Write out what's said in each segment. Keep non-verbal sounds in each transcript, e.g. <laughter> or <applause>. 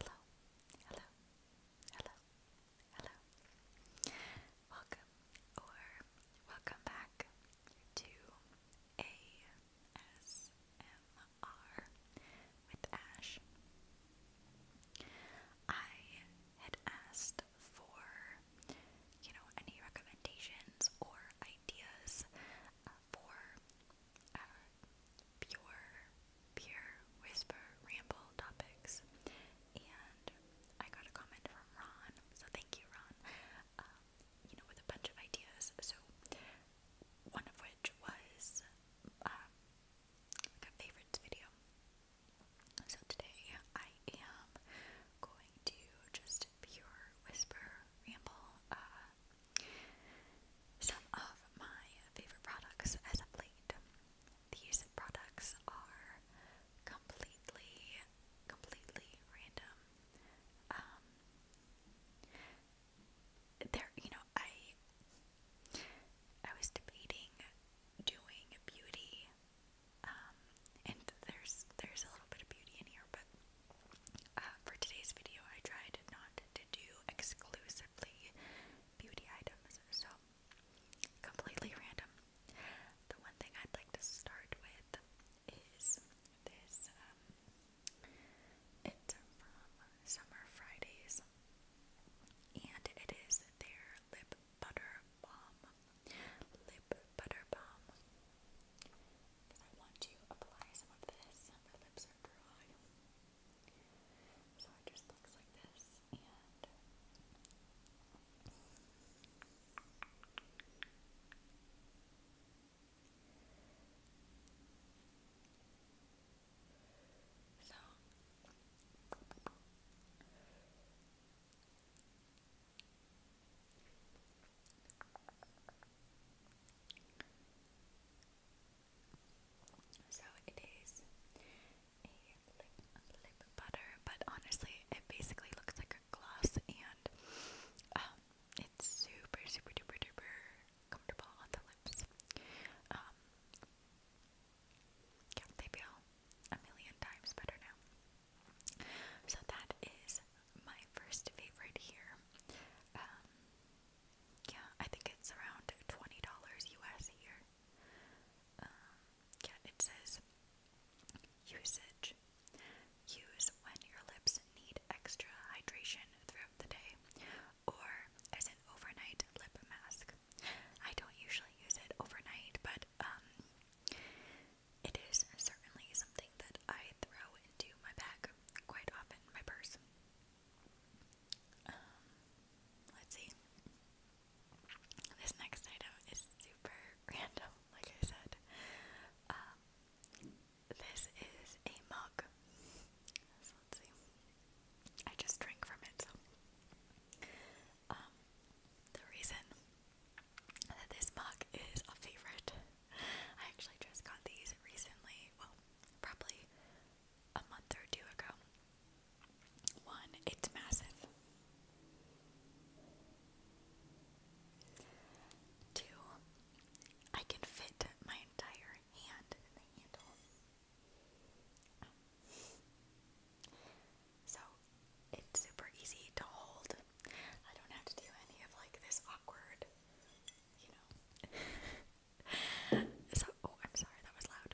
Hello, hello, hello, hello. Welcome or welcome back to ASMR with Ash. I had asked for, you know, any recommendations or ideas uh, for uh, pure, pure whisper ramble topics. And I got a comment from Ron, so thank you, Ron. Um, you know, with a bunch of ideas. So one of which was um, a favorites video. So today I am going to just pure whisper ramble uh, some of my favorite products as of late. These products are completely, completely random. Um, there, you know, I, I was debating doing beauty, um, and there's, there's a little bit of beauty in here, but uh, for today's video, I tried not to do exclusively beauty items, so completely random. The one thing I'd like to start with is this. Um, from Summer Fridays, and it is their lip butter bomb. Lip butter bomb. I want to apply some of this. My lips or dry. So it just looks like this, and so so it is a lip, butter, but honestly, it basically looks like a gloss, and um, it's super, super, duper, duper comfortable on the lips. Um, yeah, they feel a million times better now. So that is my first favorite here. Um, yeah, I think it's around $20 US here. Um, yeah, it says usage. Use when your lips need extra hydration throughout the day or as an overnight lip mask. I don't usually use it overnight, but um, it is certainly something that I throw into my bag quite often, my purse. Um, let's see. This next item is super <laughs> random, like I said. Um, this is a mug. So let's see. I just drank from it. So. Um, the reason that this mug is a favorite I actually just got these recently, well, probably a month or two ago. One, it's massive. Two, I can fit my entire hand in the handle. So it's super easy to hold. I don't have to do any of like this awkward you know. <laughs> so oh, I'm sorry, that was loud.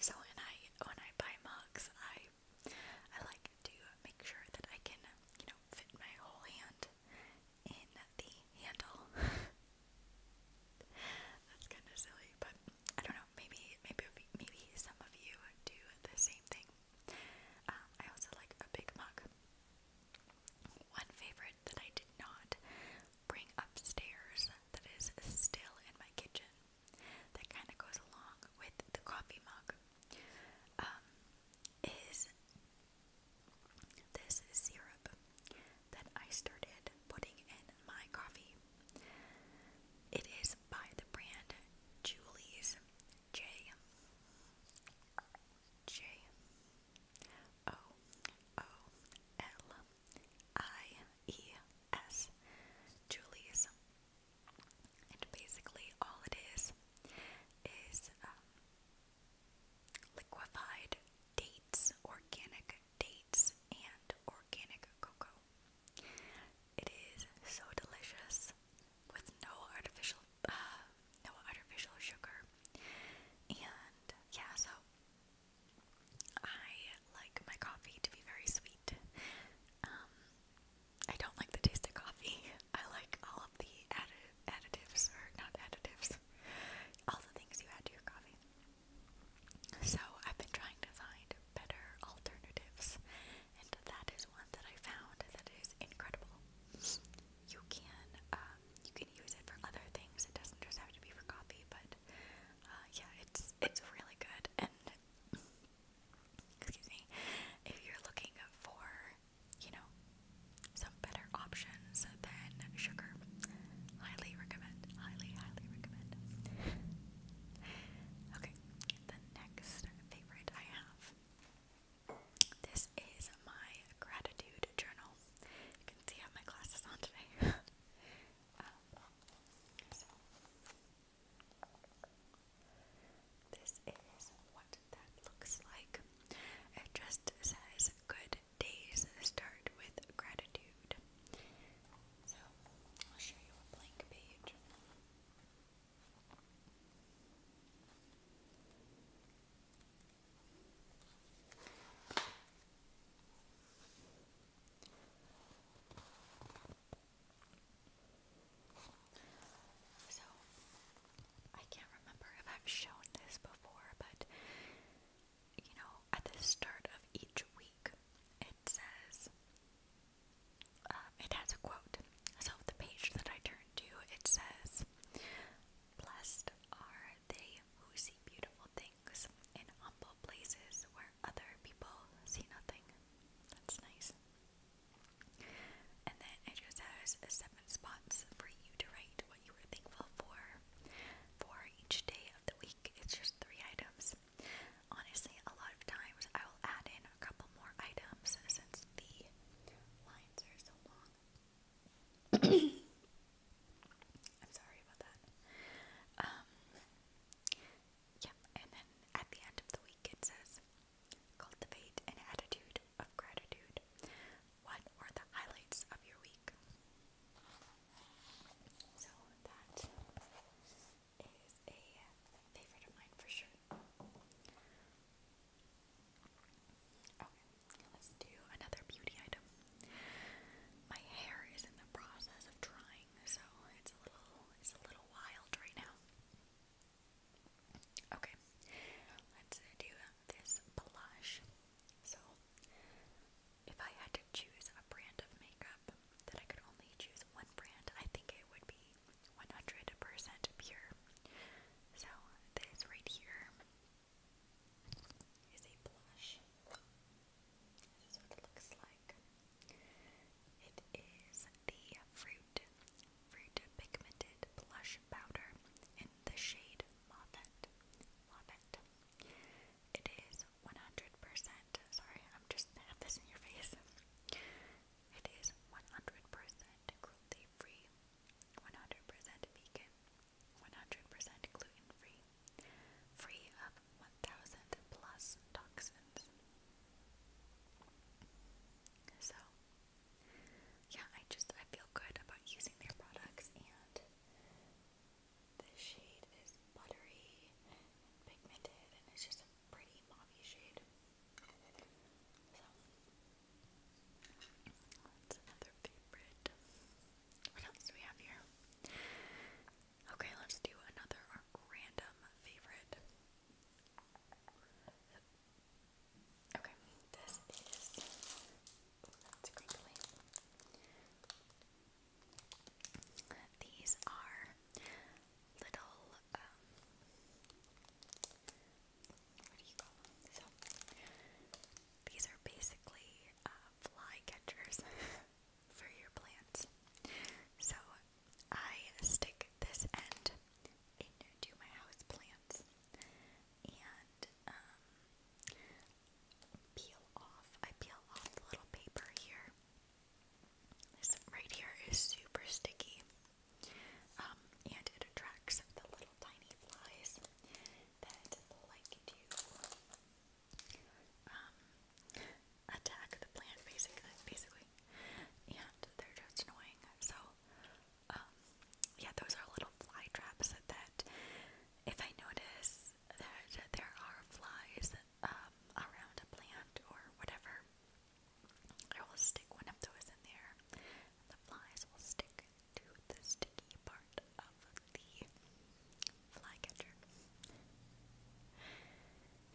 So when I when I buy mugs, I I like to make sure that I can you know fit my whole hand in the handle. <laughs> That's kind of silly, but I don't know. Maybe maybe maybe some of you do the same thing. Um, I also like a Big Mac. One favorite that I did not bring upstairs that is still in my kitchen that kind of goes along with the coffee mug um, is this syrup that I started putting in my coffee. It is by the brand Julie's J J O O L I E S Julie's. And basically, all it is is um, liquefied dates, organic dates, and organic cocoa. It is so delicious with no artificial uh, no artificial sugar. And yeah, so I like my coffee to be very sweet. Um, I don't like the taste of coffee. <laughs> I like all of the addi additives, or not additives, all the things you add to your coffee. So I've been trying to find better alternatives and that is one that I found that is incredible. You can um, you can use it for other things. It doesn't just have to be for coffee, but uh, yeah, it's it's really good. And excuse me, if you're looking for you know some better options than sugar, highly recommend. Highly, highly recommend. Okay, the next favorite I have this is my gratitude journal. You can see I my glasses on today. <laughs> Um, this is what that looks like. It just says good days start with gratitude. So I'll show you a blank page. So, I can't remember if I've shown this before, but you know, at the start of each week, it says um, it has a quote. So the page that I turned to, it says, "Blessed are they who see beautiful things in humble places where other people see nothing." That's nice. And then it just has seven spots for you to write what you were thankful for for each day of the week. It's just three items. Honestly, a lot of times I will add in a couple more items since the lines are so long. <coughs> I'm sorry about that. Um, yeah, and then at the end of the week it says cultivate an attitude of gratitude. What were the highlights of your week? So that is a favorite of mine for sure. Okay, let's do another beauty item. My hair is in the process of drying, so it's a little it's a little wild right now. Okay, let's do this blush. So, if I had to choose a brand of makeup that I could only choose one brand, I think it would be 100% pure. So, this right here is a blush. This is what it looks like. It is the Fruit, Fruit Pigmented Blush Powder in the shade Moffat. Moffat. It is 100%. Sorry, I'm just going this in your face. It is 100% cruelty free, 100% vegan, 100% gluten free, free of 1000 plus toxins. So, yeah, I just I feel good about using their products and the shade is buttery pigmented and it's just pretty mauvey shade. So that's another favorite. What else do we have here? Okay, let's do another random favorite. Okay, this is These are little um, you these are basically uh, fly catchers <laughs> for your plants. So, I stick this end into my house plants and um, peel off. I peel off the little paper here this right here is super sticky, um, and it attracts the little tiny flies that like to um, attack the plant, basically. Basically, and they're just annoying. So, um, yeah, those are little fly traps that, if I notice that there are flies around a plant or whatever. I will stick one of those in there, and the flies will stick to the sticky part of the flycatcher.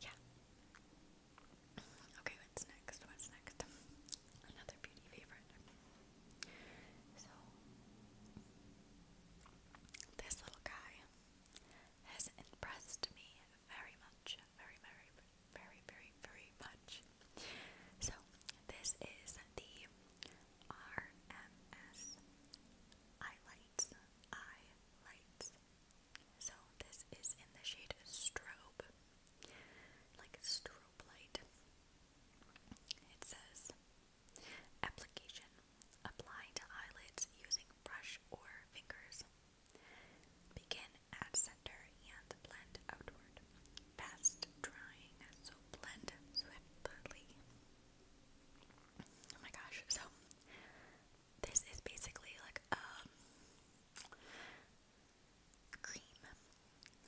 Yeah. Okay, what's next? What's next? Another beauty favorite. So, this little guy has impressed me very much, very, very, very, very, very much. So, this is the RMS Eye Lights. So, this is in the shade Strobe, like strobe light. It says application apply to eyelids using brush or fingers. Begin at center and blend outward. Fast drying, so blend swiftly. Oh my gosh, so this is basically like a um, cream,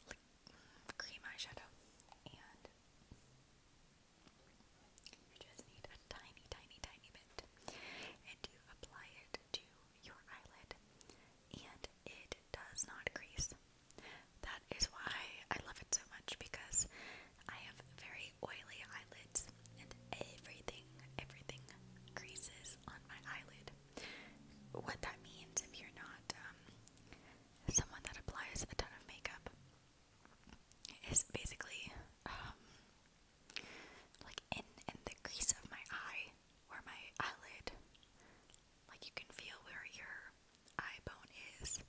like mm, cream eyeshadow, and you just need a tiny, tiny, tiny bit, and you apply it to your eyelid, and it does not crease. That is why I love it so much because I have very oily eyelids, and everything, everything creases on my eyelid. What that means if you're not um, someone that applies a ton of makeup is basically um, like in in the crease of my eye where my eyelid like you can feel where your eye bone is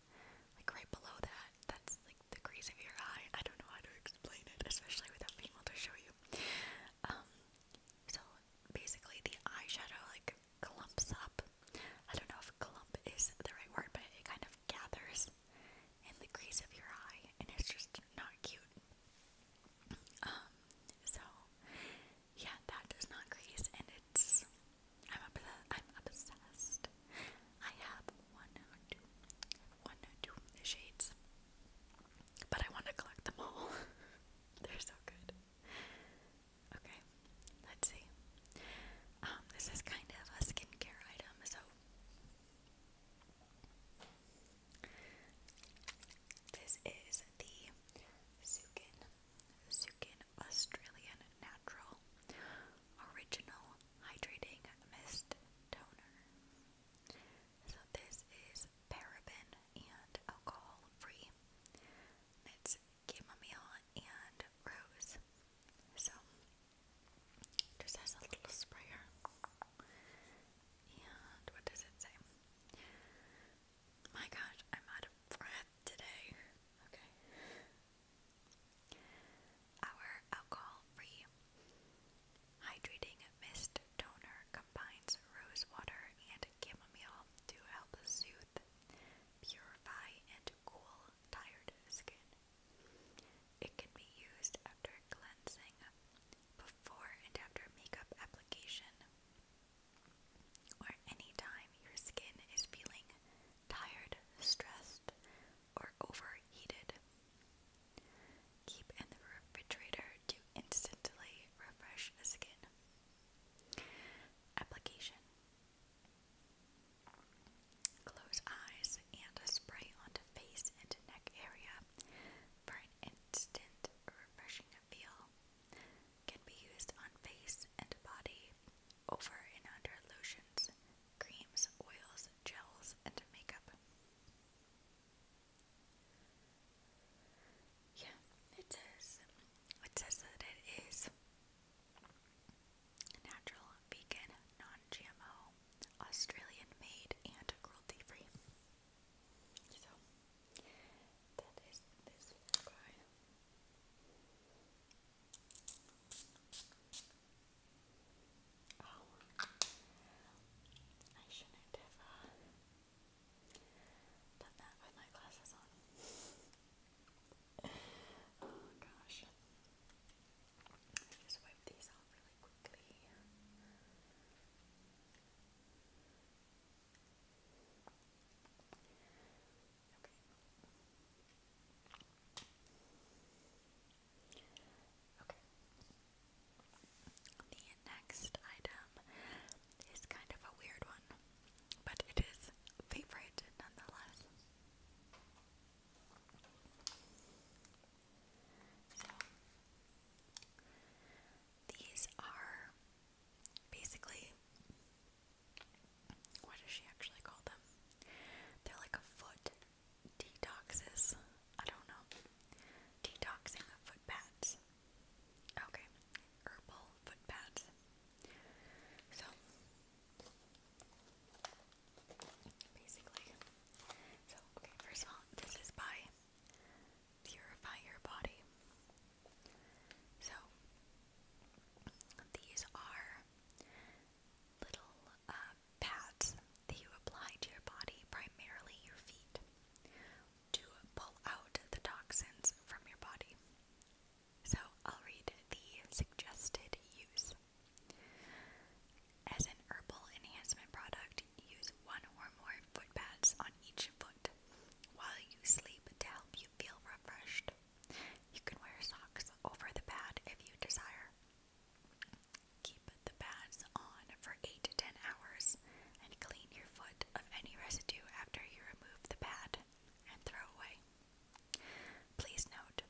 like right below that that's like the crease of your eye I don't know how to explain it especially without being able to show you um so basically the eyeshadow like clumps up I don't know if clump is the right word but it kind of gathers in the crease of your eye, and it's just not cute. Um, so yeah, that does not crease, and it's I'm obsessed. I'm obsessed. I have one or two, one or two shades, but I want to collect them all. <laughs> They're so good. Okay, let's see. Um, this is kind of a skincare item, so this is the Sukin, Sukin Australian Natural Original Hydrating Mist Toner. So this is paraben and alcohol free. It's chamomile and rose. So, just has a little sprayer. And what does it say? My gosh, I'm out of breath today. Okay. Our alcohol free hydrating mist toner combines rose water and chamomile to help soothe, purify, and cool tired skin. It can be used after cleansing, before and after makeup application, or anytime your skin is feeling tired, stressed, or overheated. Keep in the refrigerator to instantly refresh the skin. Application Close eyes and a spray onto face and neck area for an instant refreshing feel. Can be used on face and body, over and under lotions, creams, oils, gels, and makeup. Yeah, it says. It says that it is Natural, vegan, non GMO, Australian made, and cruelty free. So, that is this guy. Oh, I shouldn't uh, done that with my glasses on oh gosh. I just wipe these off really quickly. Okay. Okay. The next item is kind of a weird one, but it is favorite nonetheless. So, these are basically what does she actually call them? They're like a foot detoxes. I don't know. Detoxing of foot pads. Okay. Herbal foot pads. So basically. So, okay, first of all, this is by purifying Your Body. So, these are little uh, pads that you apply to your body, primarily your feet, to pull out the toxins from your body. So I'll read the suggested use. As an herbal enhancement product, use one or more foot pads on each foot while you sleep to help you feel refreshed. You can wear socks over the pad if you desire. Keep the pads on for 8 to 10 hours and clean your foot of any residue after you remove the pad and throw away. Please note,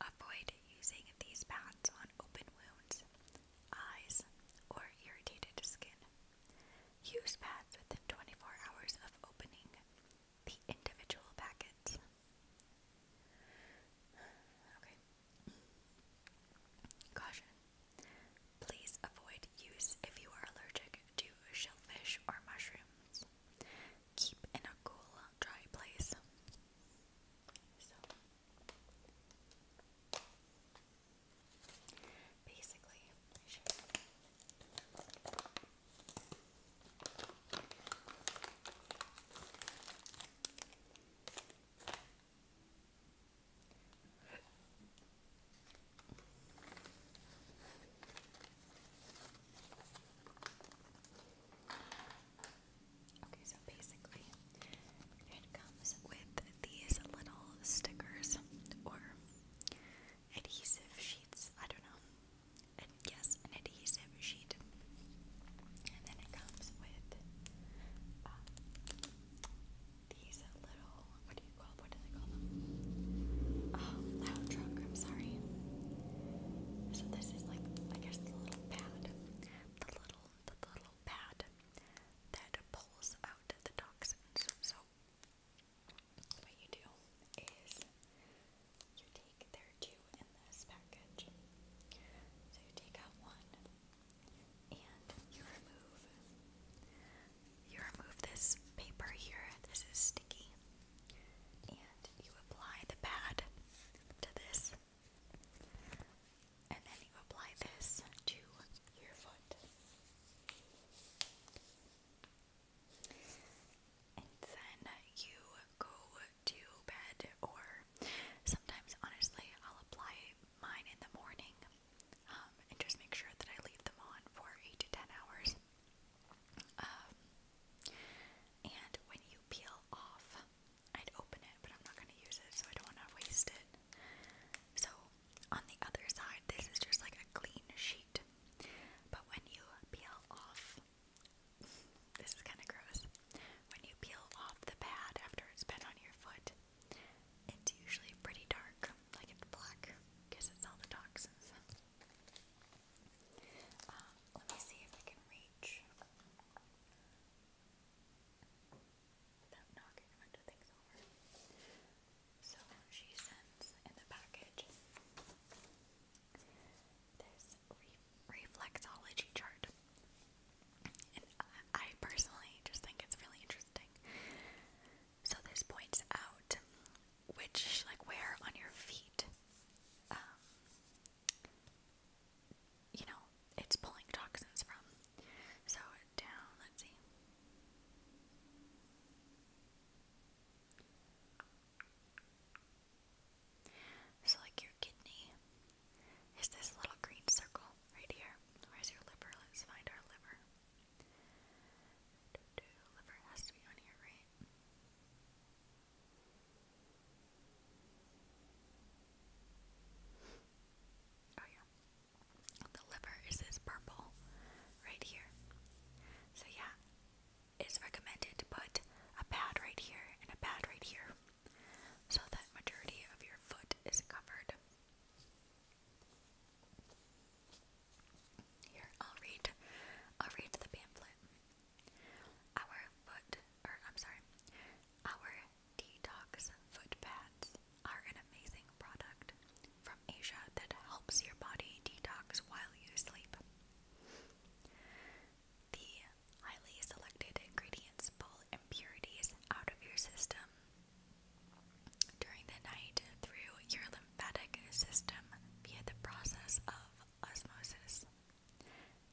avoid using these pads on open wounds, eyes, or irritated skin. Use pads within 24 hours of opening the individual packets. Caution. Please avoid use if you are allergic to shellfish or mushrooms keep in a cool, dry place. basically, Okay, so basically, it comes with these little stickers or adhesive sheets. I don't know. yes, an adhesive sheet. And then it comes with um, these little, what do you call, what do they call them? Oh, loud truck, I'm sorry. So this is like, I guess the little pad, the little, the little pad that pulls out the toxins. So what you do is you take there two in this package. So you take out one and you remove you remove this paper here. This is sticky and you apply the pad to this, and then you apply this to your foot. And then you go to bed, or sometimes, honestly, I'll apply mine in the morning um, and just make sure that I leave them on for 8 to 10 hours um, and when you peel off, I'd open it, but I'm not going to use it, so I don't want to waste it. So on the other side, this is just like a clean sheet. But when you peel off, this is kind of gross. When you peel off the pad after it's been on your foot, it's usually pretty dark, like it's black, because it's all the toxins. Uh, let me see if I can reach So she sends in the package this reflexology chart. And I personally just think it's really interesting. So this points out which like wear on your feet. Um, you know, it's pulling toxins from. So down, let's see. So like your kidney is this little green circle right here. Where's your liver? Let's find our liver. Do Liver has to be on here, right? Oh yeah. The liver is this purple right here. So yeah, it's recommended to put a pad right here and a pad right here so that majority of your foot is covered. Here, I'll read I'll read the pamphlet. Our foot or I'm sorry, our detox foot pads are an amazing product from Asia that helps your body detox while you sleep. The highly selected ingredients pull impurities out of your system during the night through your lymphatic system via the process of osmosis.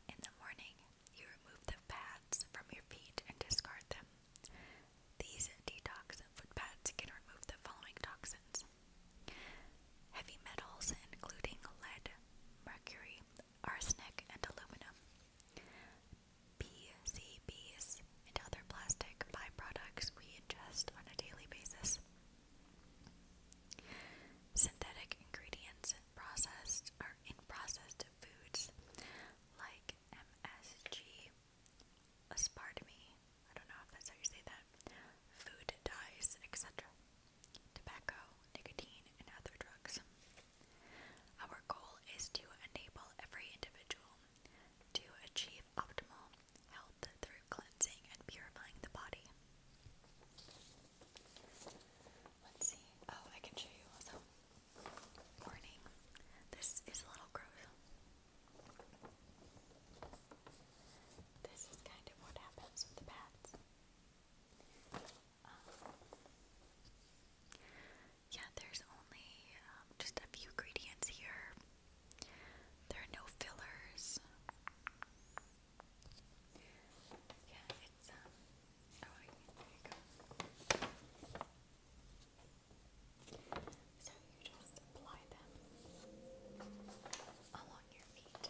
In the morning, you remove the pads from your feet and discard them. These detox foot pads can remove the following toxins. Heavy metals, including lead, mercury, arsenic, and aluminum. PCBs, and other plastic byproducts we ingest on a daily basis. Synthetic ingredients processed are in processed foods like MSG, aspartame, I don't know if that's how you say that, food dyes, etc., tobacco, nicotine, and other drugs. Our goal is to enable every individual to achieve optimal health through cleansing and purifying the body. Let's see. Oh, I can show you also. Warning. This is a little gross. This is kind of what happens with the bats. Um, yeah, there's only um, just a few ingredients here. There are no fillers. Yeah, it's um, oh, So you just apply them along your feet.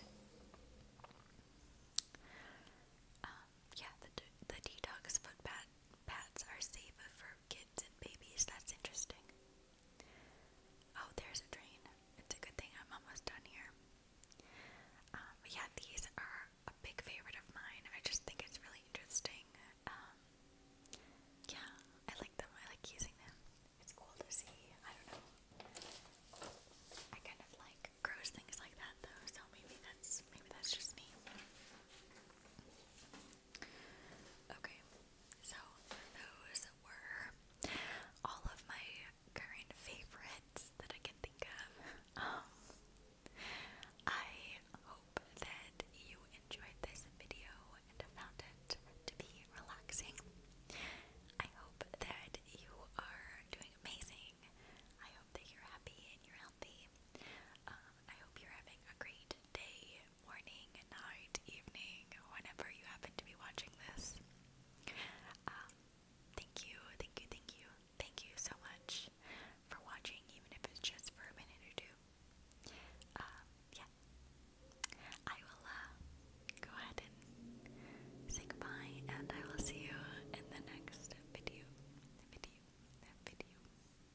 Um, yeah, the the detox foot pad pads are safe for kids and babies. That's interesting. Oh, there's a drain. It's a good thing I'm almost done here. but um, yeah, these are a big favorite of mine. I just think it's really interesting. Um, yeah, I like them. I like using them. It's cool to see. I don't know. I kind of like gross things like that, though. So maybe that's maybe that's just me. Okay, so those were all of my current favorites that I can think of. Um, I hope that you enjoyed this video and found it to be relaxing. I hope that you are doing amazing. I hope that you're happy and you're healthy. Um, I hope you're having a great day, morning, night, evening, whenever you happen to be watching this. Um, thank you, thank you, thank you, thank you so much for watching, even if it's just for a minute or two. Um, yeah. I will uh, go ahead and say goodbye, and I will see you in the next video. Video. Video.